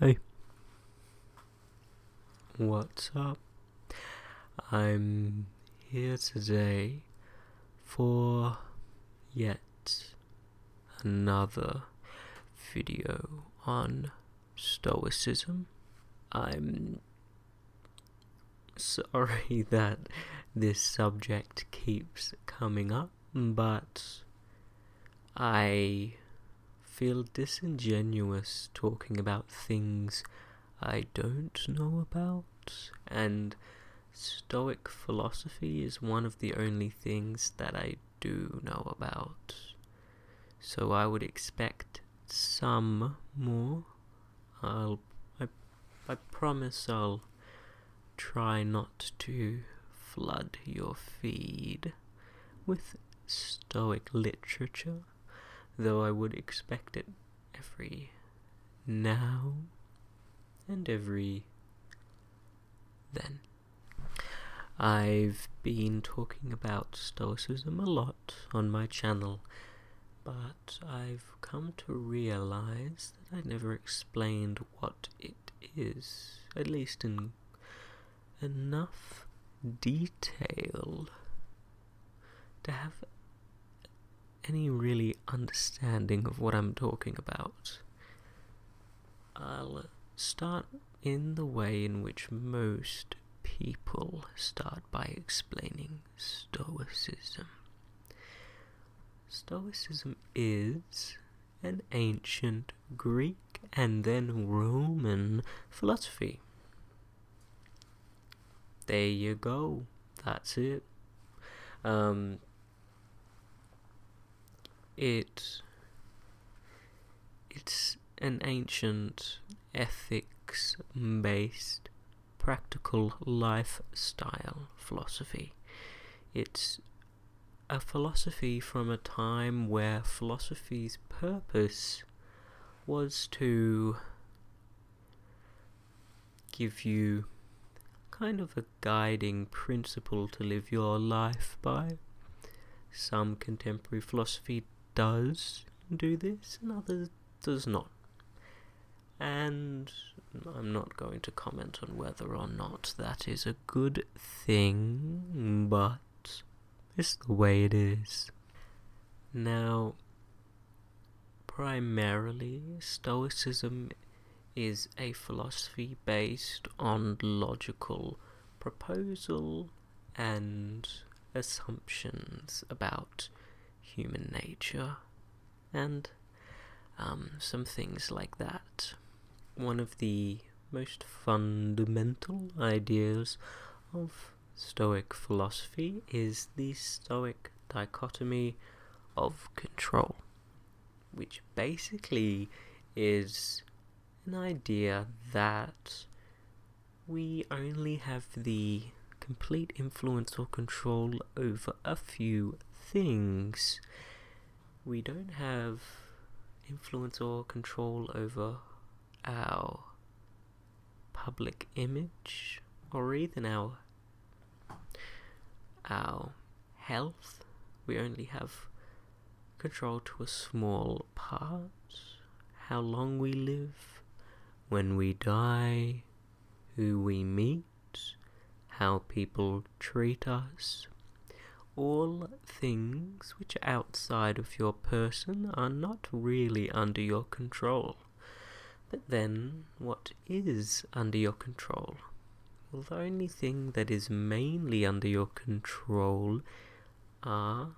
Hey. What's up? I'm here today for yet another video on Stoicism. I'm sorry that this subject keeps coming up, but I feel disingenuous talking about things I don't know about, and Stoic philosophy is one of the only things that I do know about. So I would expect some more I'll I, I promise I'll try not to flood your feed with Stoic literature, though I would expect it every now and every then. I've been talking about Stoicism a lot on my channel, but I've come to realize that I never explained what it is, at least in enough detail to have any really understanding of what I'm talking about. I'll start in the way in which most people start by explaining Stoicism. Stoicism is an ancient Greek and then Roman philosophy. There you go. That's it. Um, it it's an ancient ethics based practical lifestyle philosophy. It's a philosophy from a time where philosophy's purpose was to give you kind of a guiding principle to live your life by. Some contemporary philosophy does do this, and others does not and I'm not going to comment on whether or not that is a good thing, but it's the way it is. Now, primarily, Stoicism is a philosophy based on logical proposal and assumptions about human nature and um, some things like that. One of the most fundamental ideas of Stoic philosophy is the Stoic dichotomy of control, which basically is an idea that we only have the complete influence or control over a few things. We don't have influence or control over our public image or even our our health. We only have control to a small part. How long we live, when we die, who we meet, how people treat us. All things which are outside of your person are not really under your control. But then, what is under your control? Well, the only thing that is mainly under your control are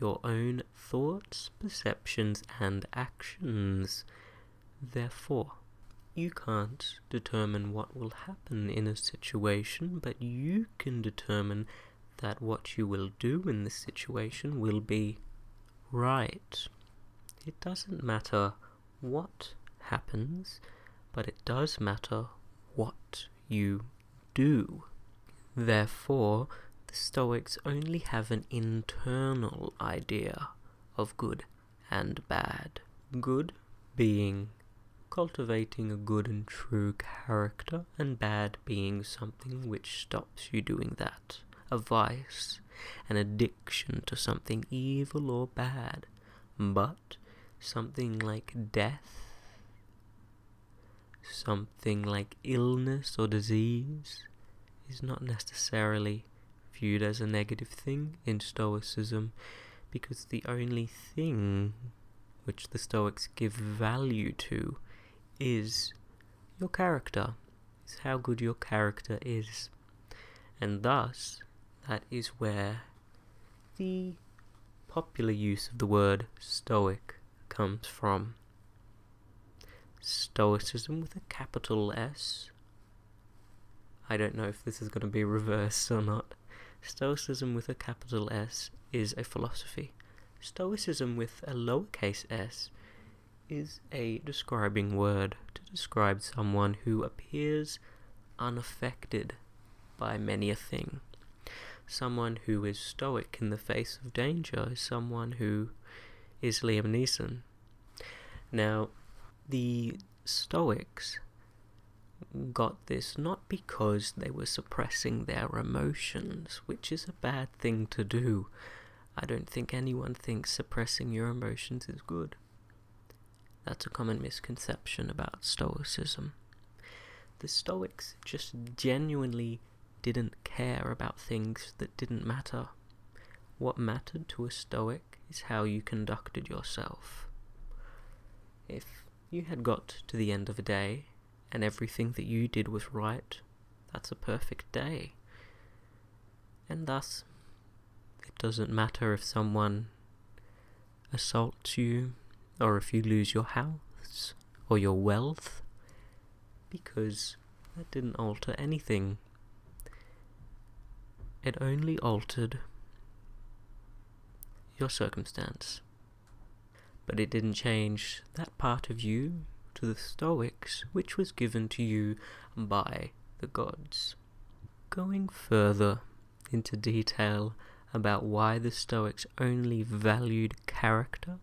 your own thoughts, perceptions, and actions therefore. You can't determine what will happen in a situation, but you can determine that what you will do in this situation will be right. It doesn't matter what happens, but it does matter what you do. Therefore, the Stoics only have an internal idea of good and bad. Good being cultivating a good and true character, and bad being something which stops you doing that. A vice, an addiction to something evil or bad. But something like death, something like illness or disease, is not necessarily viewed as a negative thing in Stoicism because the only thing which the Stoics give value to is your character, is how good your character is. And thus, that is where the popular use of the word Stoic comes from. Stoicism with a capital S. I don't know if this is going to be reversed or not. Stoicism with a capital S is a philosophy. Stoicism with a lowercase s is a describing word to describe someone who appears unaffected by many a thing. Someone who is stoic in the face of danger is someone who is Liam Neeson. Now, the Stoics got this not because they were suppressing their emotions, which is a bad thing to do. I don't think anyone thinks suppressing your emotions is good. That's a common misconception about Stoicism. The Stoics just genuinely didn't care about things that didn't matter. What mattered to a Stoic is how you conducted yourself. If you had got to the end of a day and everything that you did was right, that's a perfect day. And thus, it doesn't matter if someone assaults you, or if you lose your house, or your wealth, because that didn't alter anything. It only altered your circumstance. But it didn't change that part of you to the Stoics which was given to you by the gods. Going further into detail about why the Stoics only valued character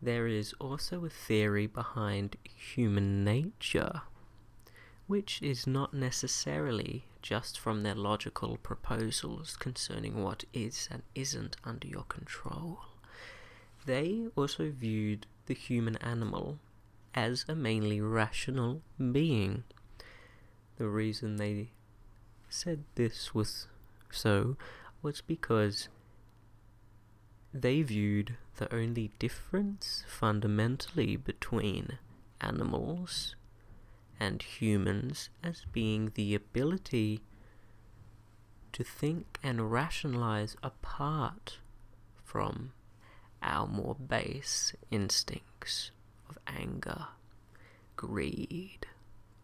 there is also a theory behind human nature, which is not necessarily just from their logical proposals concerning what is and isn't under your control. They also viewed the human animal as a mainly rational being. The reason they said this was so was because they viewed the only difference fundamentally between animals and humans as being the ability to think and rationalize apart from our more base instincts of anger, greed,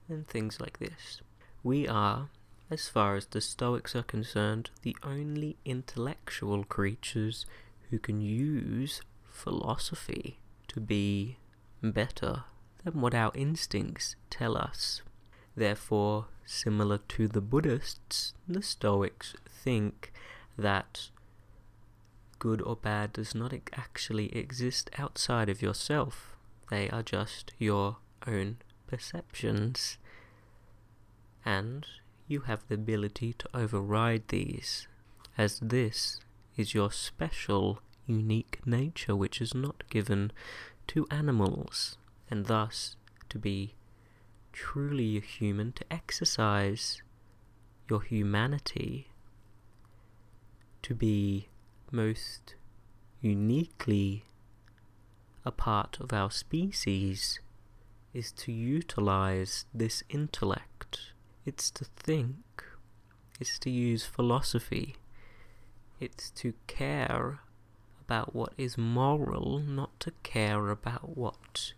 and things like this. We are, as far as the Stoics are concerned, the only intellectual creatures who can use philosophy to be better than what our instincts tell us. Therefore, similar to the Buddhists, the Stoics think that good or bad does not actually exist outside of yourself. They are just your own perceptions, and you have the ability to override these, as this is your special, unique nature which is not given to animals, and thus to be truly human to exercise your humanity to be most uniquely a part of our species, is to utilize this intellect. It's to think, it's to use philosophy, it's to care about what is moral, not to care about what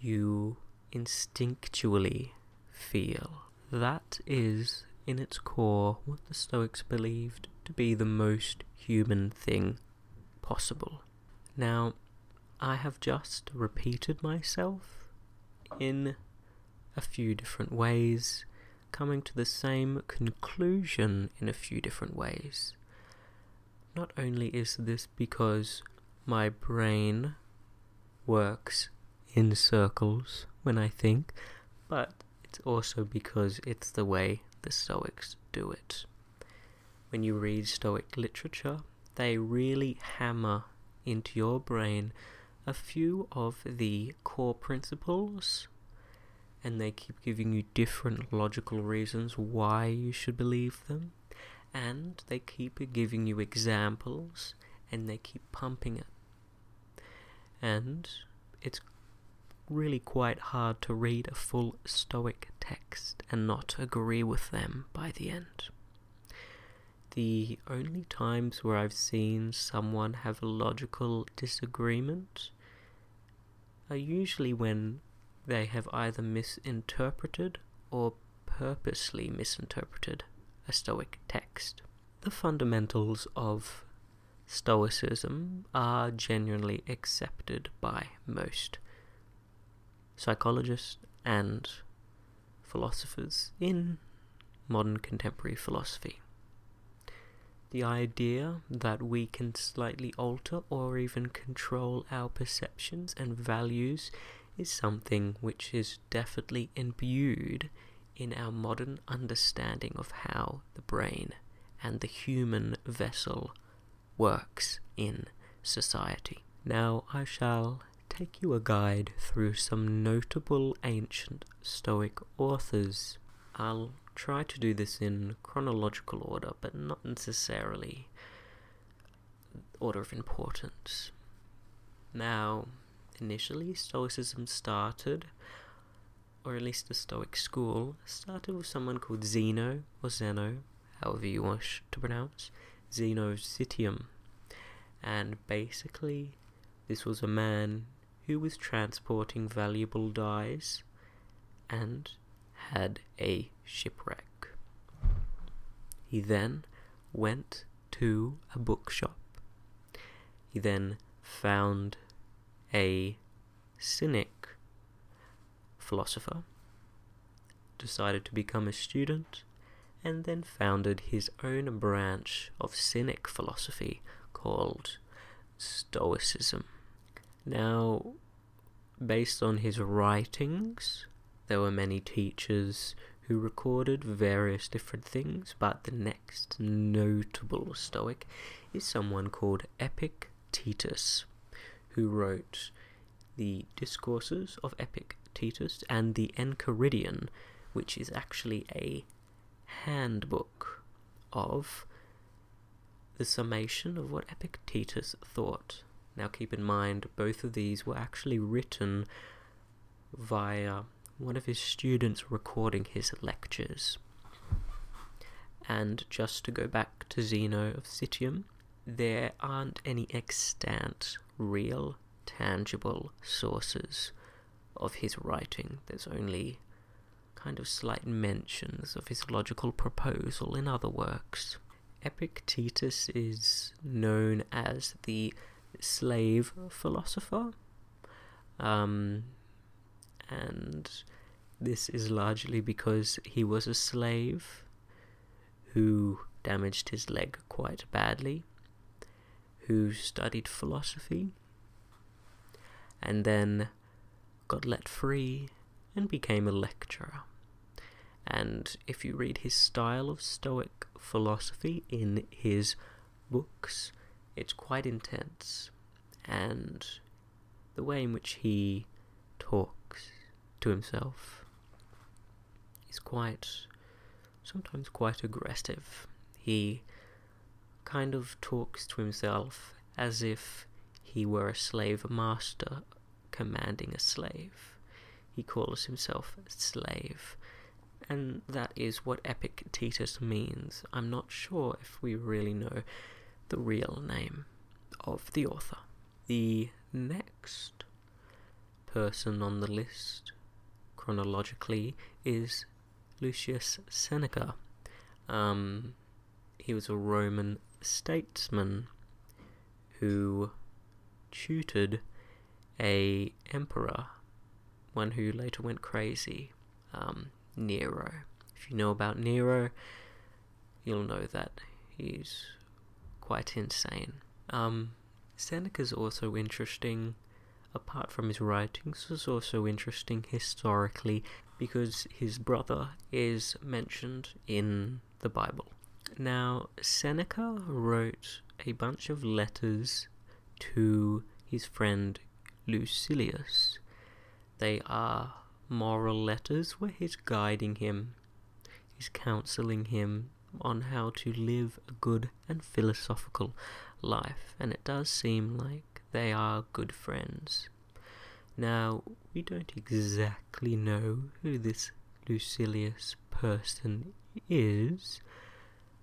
you instinctually feel. That is, in its core, what the Stoics believed to be the most human thing possible. Now, I have just repeated myself in a few different ways, coming to the same conclusion in a few different ways. Not only is this because my brain works in circles when I think, but it's also because it's the way the Stoics do it. When you read Stoic literature, they really hammer into your brain a few of the core principles and they keep giving you different logical reasons why you should believe them and they keep giving you examples and they keep pumping it and it's really quite hard to read a full Stoic text and not agree with them by the end. The only times where I've seen someone have a logical disagreement are usually when they have either misinterpreted or purposely misinterpreted a Stoic text. The fundamentals of Stoicism are genuinely accepted by most psychologists and philosophers in modern contemporary philosophy. The idea that we can slightly alter or even control our perceptions and values is something which is definitely imbued in our modern understanding of how the brain and the human vessel works in society. Now I shall take you a guide through some notable ancient Stoic authors. I'll try to do this in chronological order, but not necessarily order of importance. Now, initially, Stoicism started or at least the Stoic school, started with someone called Zeno or Zeno, however you wish to pronounce, Zeno Citium. And basically, this was a man who was transporting valuable dyes and had a shipwreck. He then went to a bookshop. He then found a cynic philosopher, decided to become a student, and then founded his own branch of cynic philosophy called Stoicism. Now, based on his writings, there were many teachers who recorded various different things, but the next notable Stoic is someone called Epictetus, who wrote the Discourses of Epictetus and the Enchiridion, which is actually a handbook of the summation of what Epictetus thought. Now, keep in mind, both of these were actually written via one of his students recording his lectures. And just to go back to Zeno of Citium, there aren't any extant, real, tangible sources of his writing. There's only kind of slight mentions of his logical proposal in other works. Epictetus is known as the slave philosopher. Um, and this is largely because he was a slave who damaged his leg quite badly, who studied philosophy, and then got let free and became a lecturer. And if you read his style of Stoic philosophy in his books, it's quite intense and the way in which he talks to himself is quite, sometimes quite aggressive. He kind of talks to himself as if he were a slave master commanding a slave. He calls himself slave. And that is what Epictetus means. I'm not sure if we really know the real name of the author. The next person on the list chronologically is Lucius Seneca. Um, he was a Roman statesman who tutored a emperor, one who later went crazy. Um, Nero. If you know about Nero, you'll know that he's quite insane. Um, Seneca is also interesting, apart from his writings, is also interesting historically because his brother is mentioned in the Bible. Now, Seneca wrote a bunch of letters to his friend Lucilius. They are moral letters where he's guiding him, he's counseling him on how to live a good and philosophical life, and it does seem like they are good friends. Now, we don't exactly know who this Lucilius person is.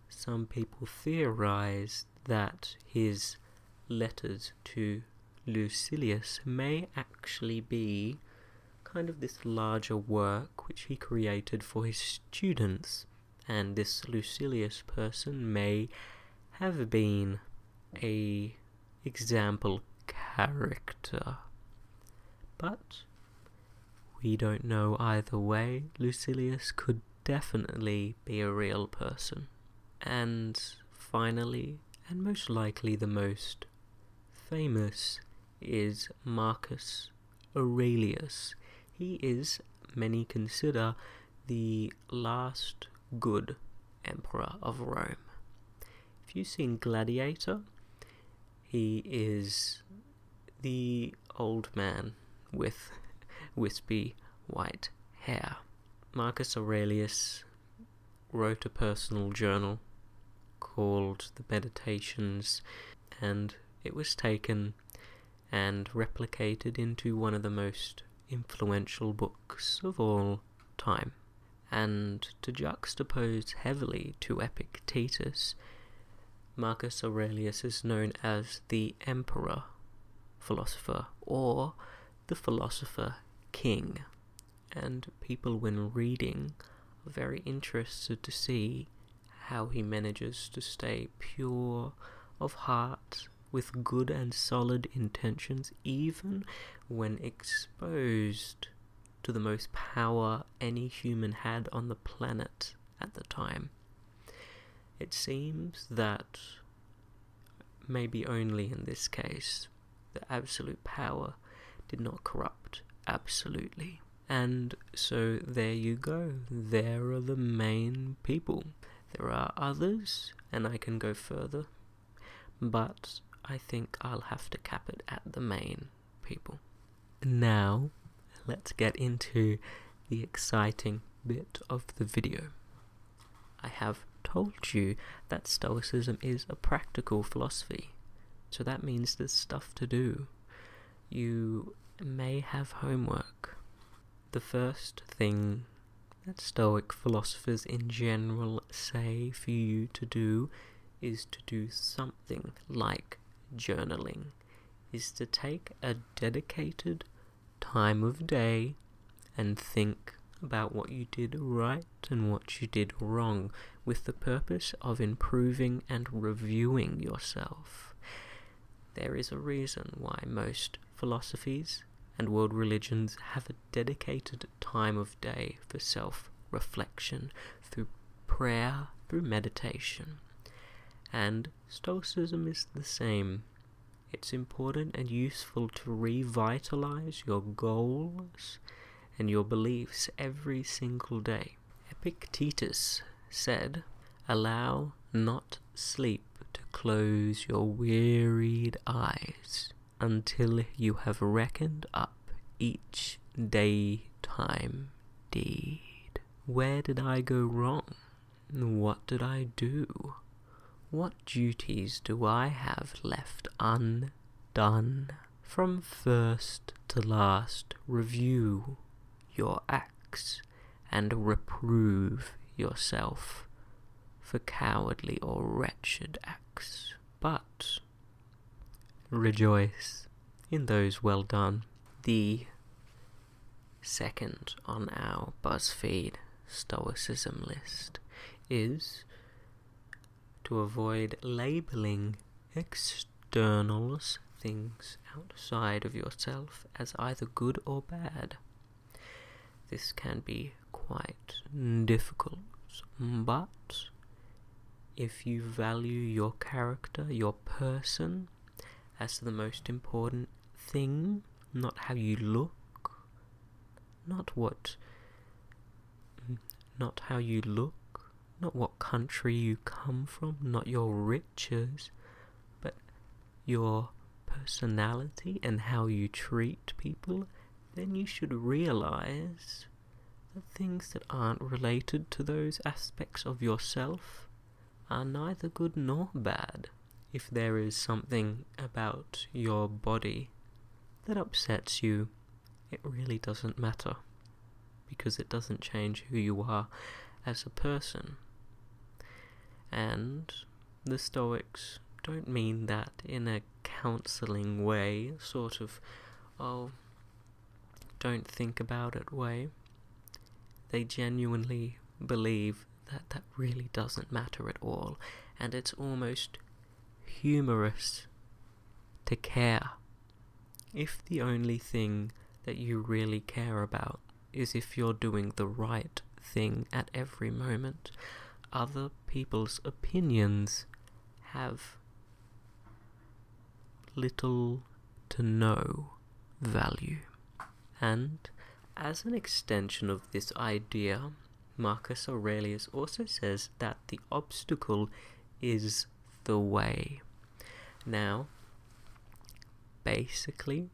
Some people theorize that his letters to Lucilius may actually be kind of this larger work which he created for his students, and this Lucilius person may have been a example character. But we don't know either way. Lucilius could definitely be a real person. And finally, and most likely the most famous, is Marcus Aurelius. He is, many consider, the last good emperor of Rome. If you've seen Gladiator, he is the old man with wispy white hair. Marcus Aurelius wrote a personal journal called the Meditations, and it was taken and replicated into one of the most influential books of all time. And to juxtapose heavily to Epictetus, Marcus Aurelius is known as the Emperor philosopher or the philosopher king. And people, when reading, are very interested to see how he manages to stay pure of heart with good and solid intentions, even when exposed to the most power any human had on the planet at the time. It seems that maybe only in this case the absolute power did not corrupt absolutely. And so there you go. There are the main people. There are others, and I can go further, but I think I'll have to cap it at the main people. Now, let's get into the exciting bit of the video. I have told you that Stoicism is a practical philosophy, so that means there's stuff to do. You may have homework. The first thing that Stoic philosophers in general say for you to do is to do something like journaling, is to take a dedicated time of day and think about what you did right and what you did wrong with the purpose of improving and reviewing yourself. There is a reason why most philosophies and world religions have a dedicated time of day for self reflection through prayer, through meditation. And Stoicism is the same. It's important and useful to revitalize your goals and your beliefs every single day. Epictetus said, Allow not sleep to close your wearied eyes until you have reckoned up each time deed. Where did I go wrong? What did I do? What duties do I have left undone? From first to last, review your acts and reprove yourself for cowardly or wretched acts, but rejoice in those well done. The Second on our BuzzFeed Stoicism list is to avoid labeling externals, things outside of yourself, as either good or bad. This can be quite difficult, but if you value your character, your person, as the most important thing, not how you look, not what, not how you look, not what country you come from, not your riches, but your personality and how you treat people, then you should realize the things that aren't related to those aspects of yourself are neither good nor bad. If there is something about your body that upsets you, it really doesn't matter because it doesn't change who you are as a person. And the Stoics don't mean that in a counseling way, sort of, oh, don't think about it way. They genuinely believe that that really doesn't matter at all, and it's almost humorous to care if the only thing that you really care about is if you're doing the right thing at every moment. Other people's opinions have little to know value. And as an extension of this idea, Marcus Aurelius also says that the obstacle is the way. Now, basically,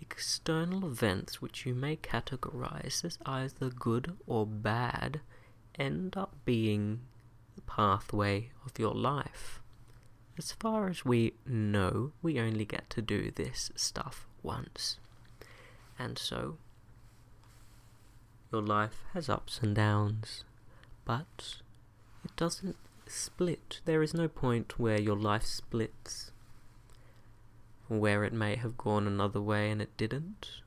external events which you may categorize as either good or bad end up being the pathway of your life. As far as we know, we only get to do this stuff once. And so, your life has ups and downs, but it doesn't split. There is no point where your life splits, where it may have gone another way and it didn't.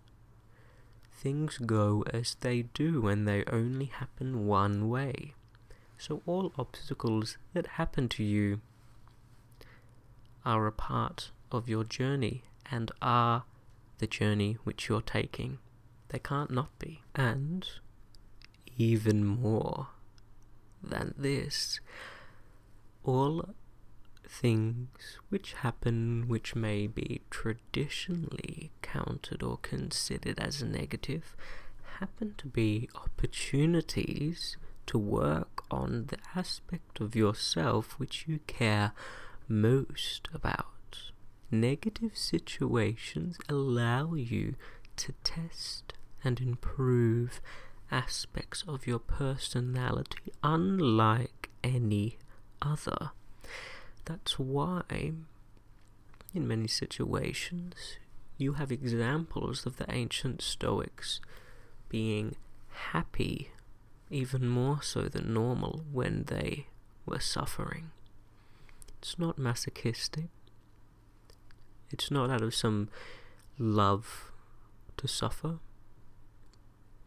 Things go as they do and they only happen one way. So all obstacles that happen to you are a part of your journey and are the journey which you're taking. They can't not be. And even more than this, all things which happen which may be traditionally counted or considered as a negative happen to be opportunities to work on the aspect of yourself which you care most about. Negative situations allow you to test and improve aspects of your personality unlike any other. That's why in many situations, you have examples of the ancient Stoics being happy, even more so than normal, when they were suffering. It's not masochistic. It's not out of some love to suffer,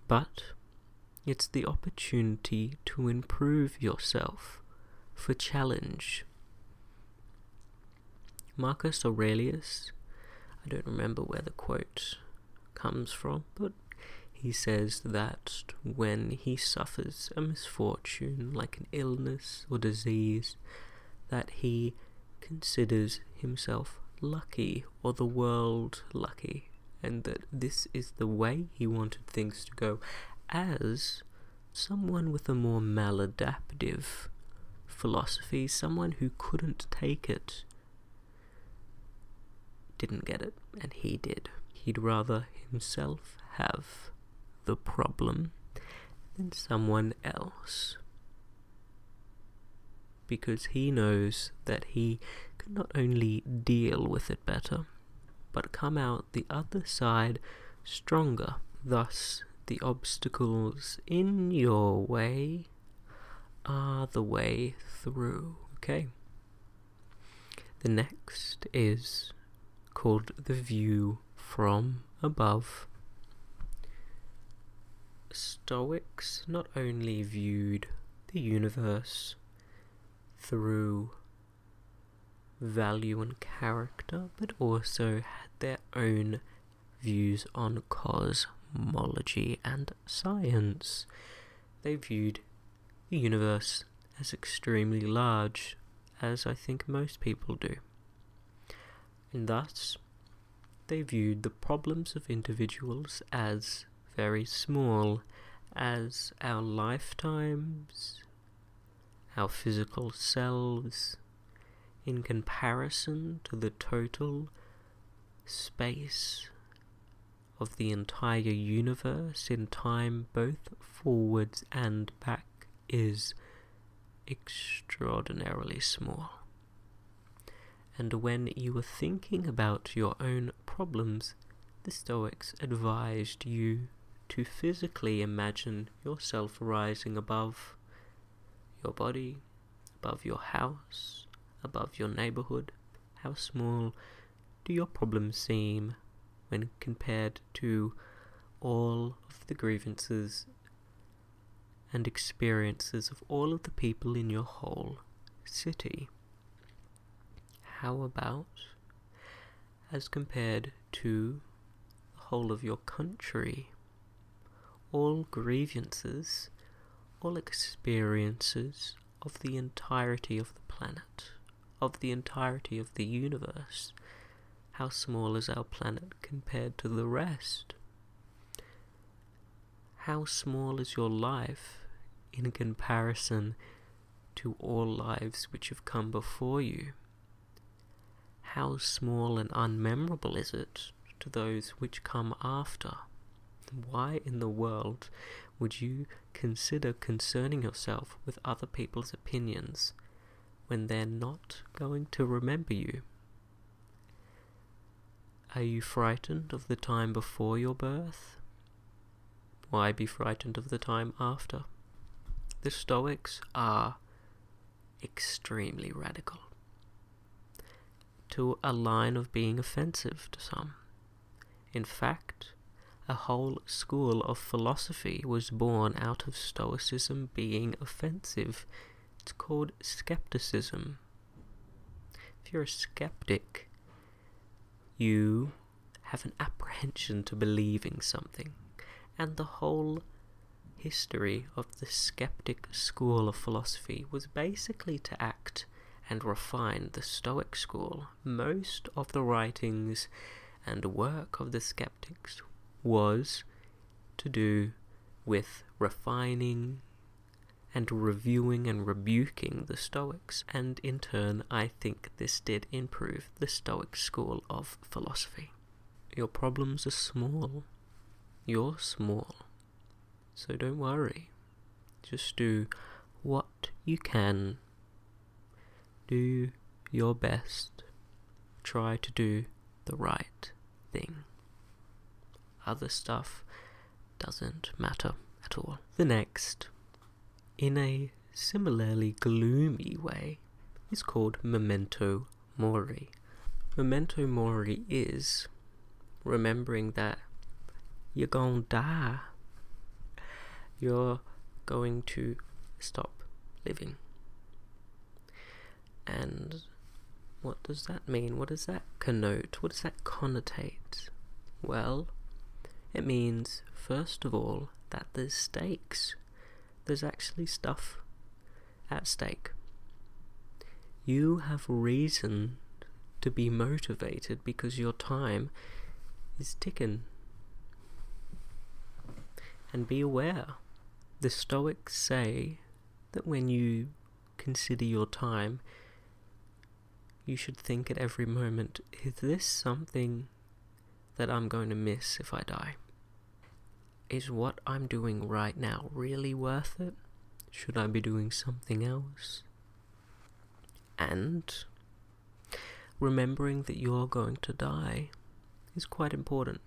but it's the opportunity to improve yourself for challenge, Marcus Aurelius, I don't remember where the quote comes from, but he says that when he suffers a misfortune like an illness or disease, that he considers himself lucky or the world lucky, and that this is the way he wanted things to go, as someone with a more maladaptive philosophy, someone who couldn't take it, didn't get it, and he did. He'd rather himself have the problem than someone else. Because he knows that he could not only deal with it better, but come out the other side stronger. Thus, the obstacles in your way are the way through. Okay. The next is called the view from above. Stoics not only viewed the universe through value and character, but also had their own views on cosmology and science. They viewed the universe as extremely large, as I think most people do. And thus, they viewed the problems of individuals as very small, as our lifetimes our physical selves, in comparison to the total space of the entire universe in time, both forwards and back, is extraordinarily small. And when you were thinking about your own problems, the Stoics advised you to physically imagine yourself rising above your body, above your house, above your neighborhood. How small do your problems seem when compared to all of the grievances and experiences of all of the people in your whole city? How about as compared to the whole of your country. All grievances, all experiences of the entirety of the planet, of the entirety of the universe. How small is our planet compared to the rest? How small is your life in comparison to all lives which have come before you. How small and unmemorable is it to those which come after? Why in the world would you consider concerning yourself with other people's opinions when they're not going to remember you? Are you frightened of the time before your birth? Why be frightened of the time after? The Stoics are extremely radical to a line of being offensive to some. In fact, a whole school of philosophy was born out of Stoicism being offensive. It's called skepticism. If you're a skeptic, you have an apprehension to believing something, and the whole history of the skeptic school of philosophy was basically to act and refine the Stoic school. Most of the writings and work of the skeptics was to do with refining and reviewing and rebuking the Stoics, and in turn, I think this did improve the Stoic school of philosophy. Your problems are small. You're small. So don't worry. Just do what you can. Do your best. Try to do the right thing. Other stuff doesn't matter at all. The next in a similarly gloomy way is called memento mori. Memento mori is remembering that you're going to die. You're going to stop living. And what does that mean? What does that connote? What does that connotate? Well, it means, first of all, that there's stakes. There's actually stuff at stake. You have reason to be motivated because your time is ticking. And be aware. The Stoics say that when you consider your time, you should think at every moment is this something that I'm going to miss if I die. Is what I'm doing right now really worth it? Should I be doing something else? And remembering that you're going to die is quite important.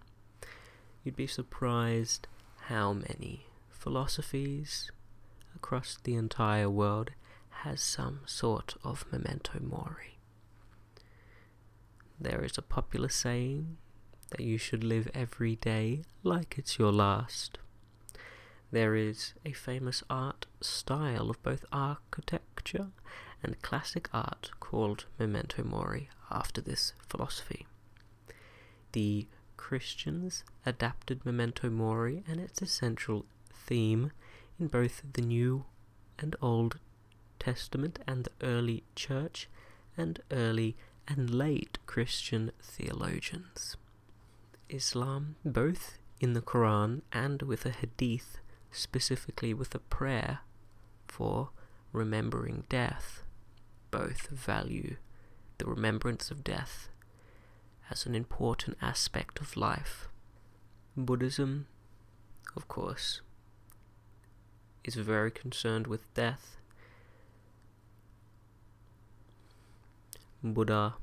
You'd be surprised how many philosophies across the entire world has some sort of memento mori. There is a popular saying that you should live every day like it's your last. There is a famous art style of both architecture and classic art called memento mori after this philosophy. The Christians adapted memento mori and its essential theme in both the New and Old Testament and the early church and early and late Christian theologians. Islam, both in the Quran and with a hadith, specifically with a prayer for remembering death, both value the remembrance of death as an important aspect of life. Buddhism, of course, is very concerned with death. Buddha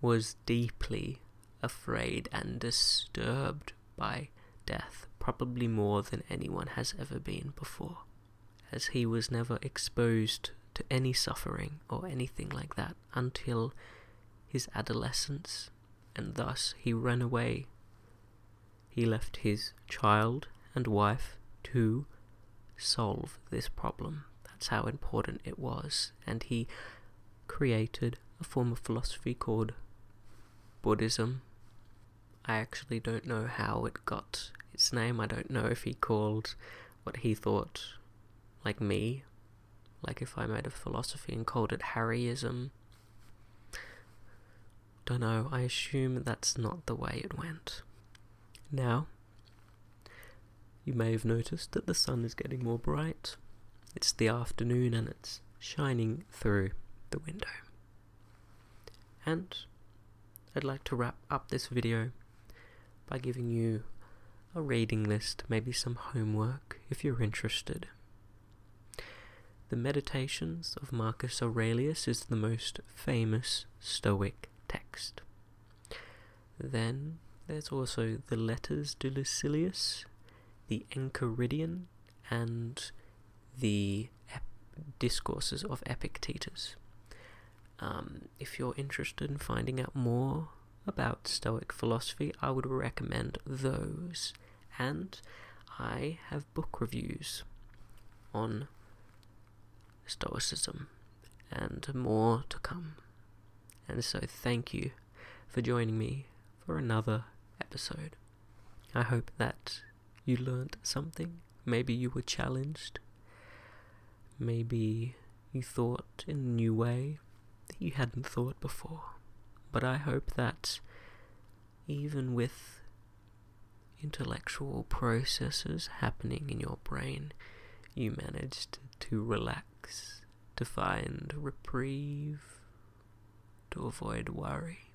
was deeply afraid and disturbed by death, probably more than anyone has ever been before, as he was never exposed to any suffering or anything like that until his adolescence and thus he ran away. He left his child and wife to solve this problem. That's how important it was, and he created a form of philosophy called Buddhism. I actually don't know how it got its name. I don't know if he called what he thought, like me, like if I made a philosophy and called it Harryism. Don't know, I assume that's not the way it went. Now, you may have noticed that the sun is getting more bright. It's the afternoon and it's shining through the window. And I'd like to wrap up this video by giving you a reading list, maybe some homework if you're interested. The Meditations of Marcus Aurelius is the most famous Stoic text. Then there's also the Letters to Lucilius, the Enchiridion, and the Discourses of Epictetus. Um, if you're interested in finding out more about Stoic philosophy, I would recommend those. And I have book reviews on Stoicism and more to come. And so, thank you for joining me for another episode. I hope that you learned something. Maybe you were challenged. Maybe you thought in a new way that you hadn't thought before. But I hope that even with intellectual processes happening in your brain, you managed to relax, to find reprieve, to avoid worry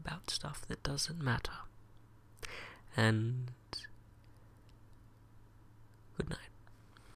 about stuff that doesn't matter. And good night.